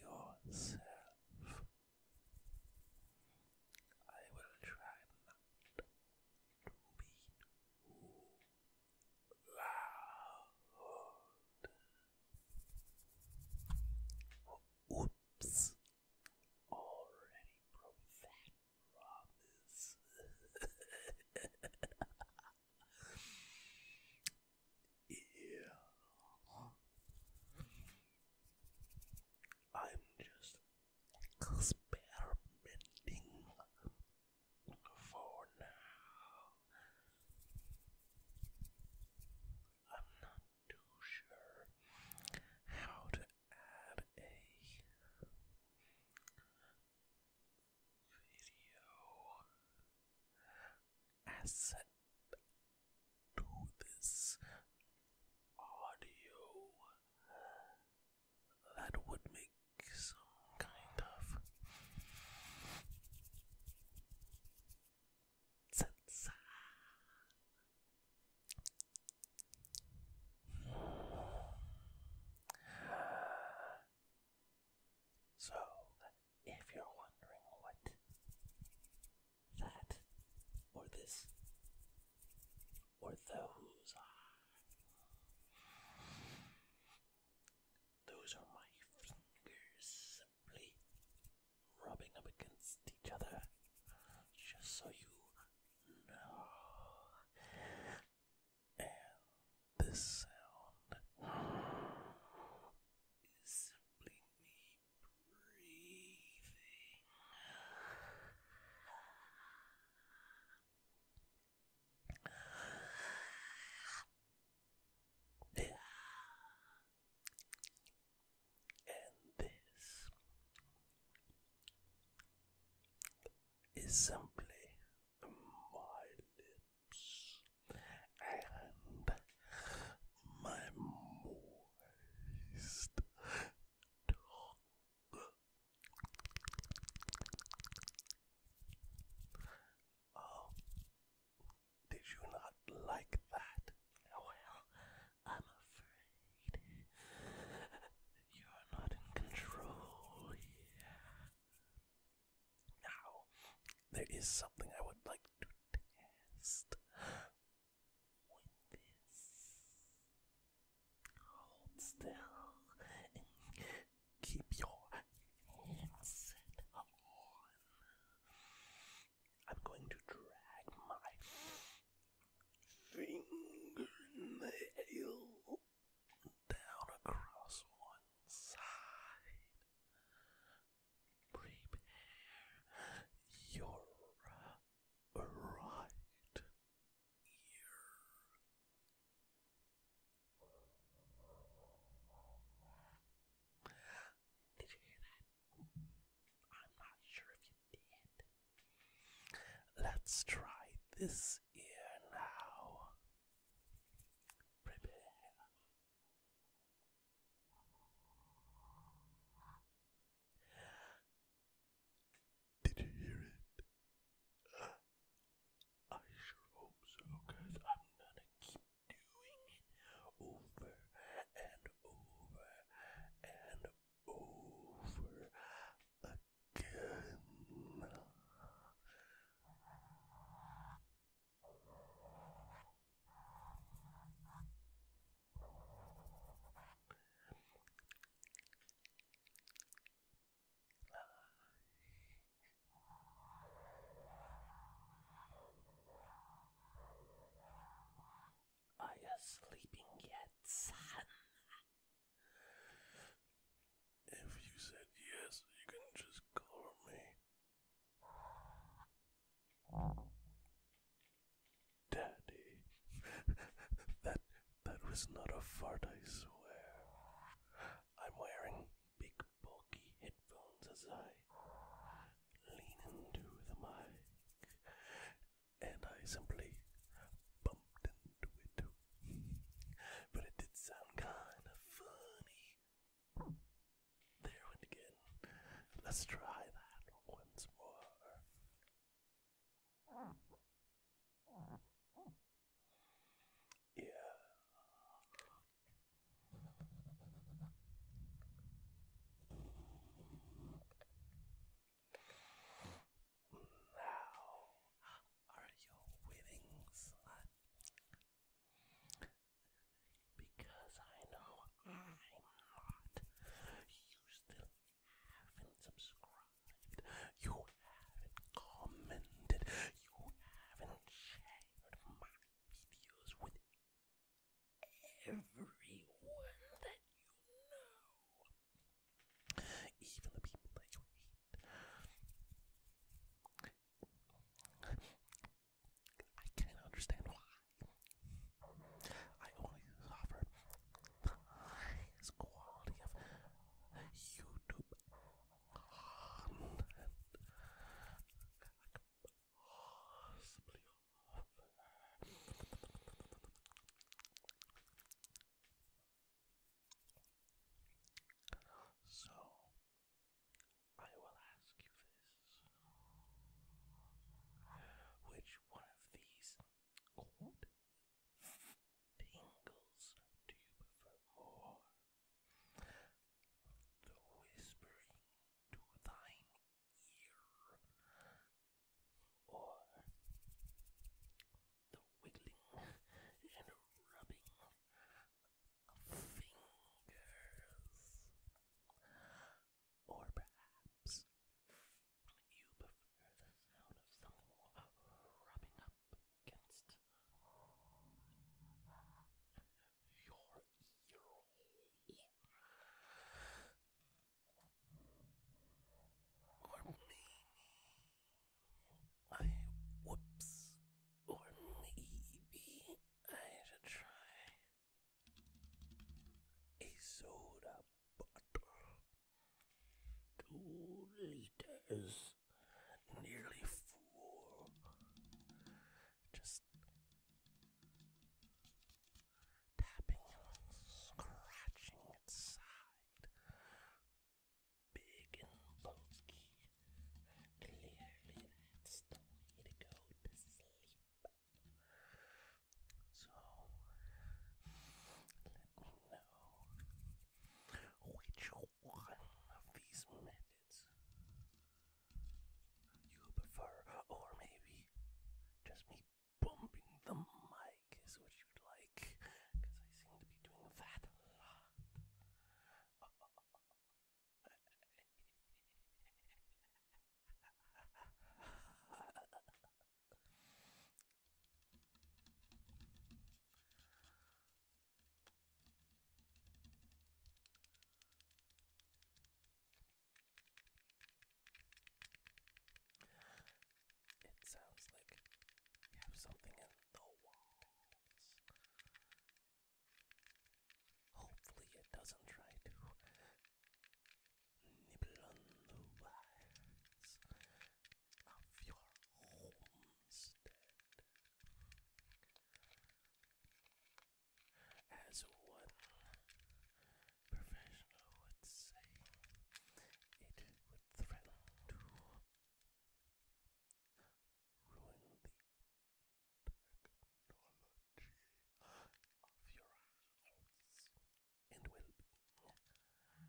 Hello. This is my I hope you enjoy yourself. I will try loud. Oops. Already broke that promise. yeah. I'm just experimenting for now. I'm not too sure how to add a video asset to this audio that would make some kind of sense. So, if you're wondering what that or this or those are. Those are my fingers simply rubbing up against each other, just so you know. And this sound is simply me breathing. And this is simply my lips and my moist tongue. Oh, did you not like that? Well, I'm afraid you're not in control here. Now, there is something I would like to test with this. Hold still and keep your headset on. I'm going to drag my fingernail down across one side. Prepare your right did you hear that? I'm not sure if you did. Let's try this ear now. Prepare. Did you hear it? I sure hope so, I'm gonna keep doing it over and over and over again. Are you sleeping yet, son? If you said yes, you can just call me. Daddy, that that was not a fart, I swear. I'm wearing big bulky headphones as I lean into the mic, and I simply bumped into it. but it did sound kind of funny. There went again. Let's try that once more. Yeah. Now are your withings because I know I'm not. You haven't subscribed, you haven't commented, you haven't shared my videos with everyone that you know, even the people that you hate. I can't understand why highest quality YouTube content So, I will ask you this. Which one of these tingles do you prefer more? The whispering to thine ear, or the wiggling and rubbing of fingers, or perhaps you prefer the sound of someone rubbing up against your ear or me. I whoops, or maybe I should try a soda bottle. Two liters, nearly full. Just tapping and scratching its side. Big and bulky. Clearly, that's the way to go to sleep. So, let me know which one of these methods you prefer, or maybe just me bumping the mic is what you'd like, because I seem to be doing that a lot. It sounds like you have something in the walls. Hopefully, it doesn't try to nibble on the wires of your homestead. As one professional would say, it would threaten to ruin the technology of your house and well being.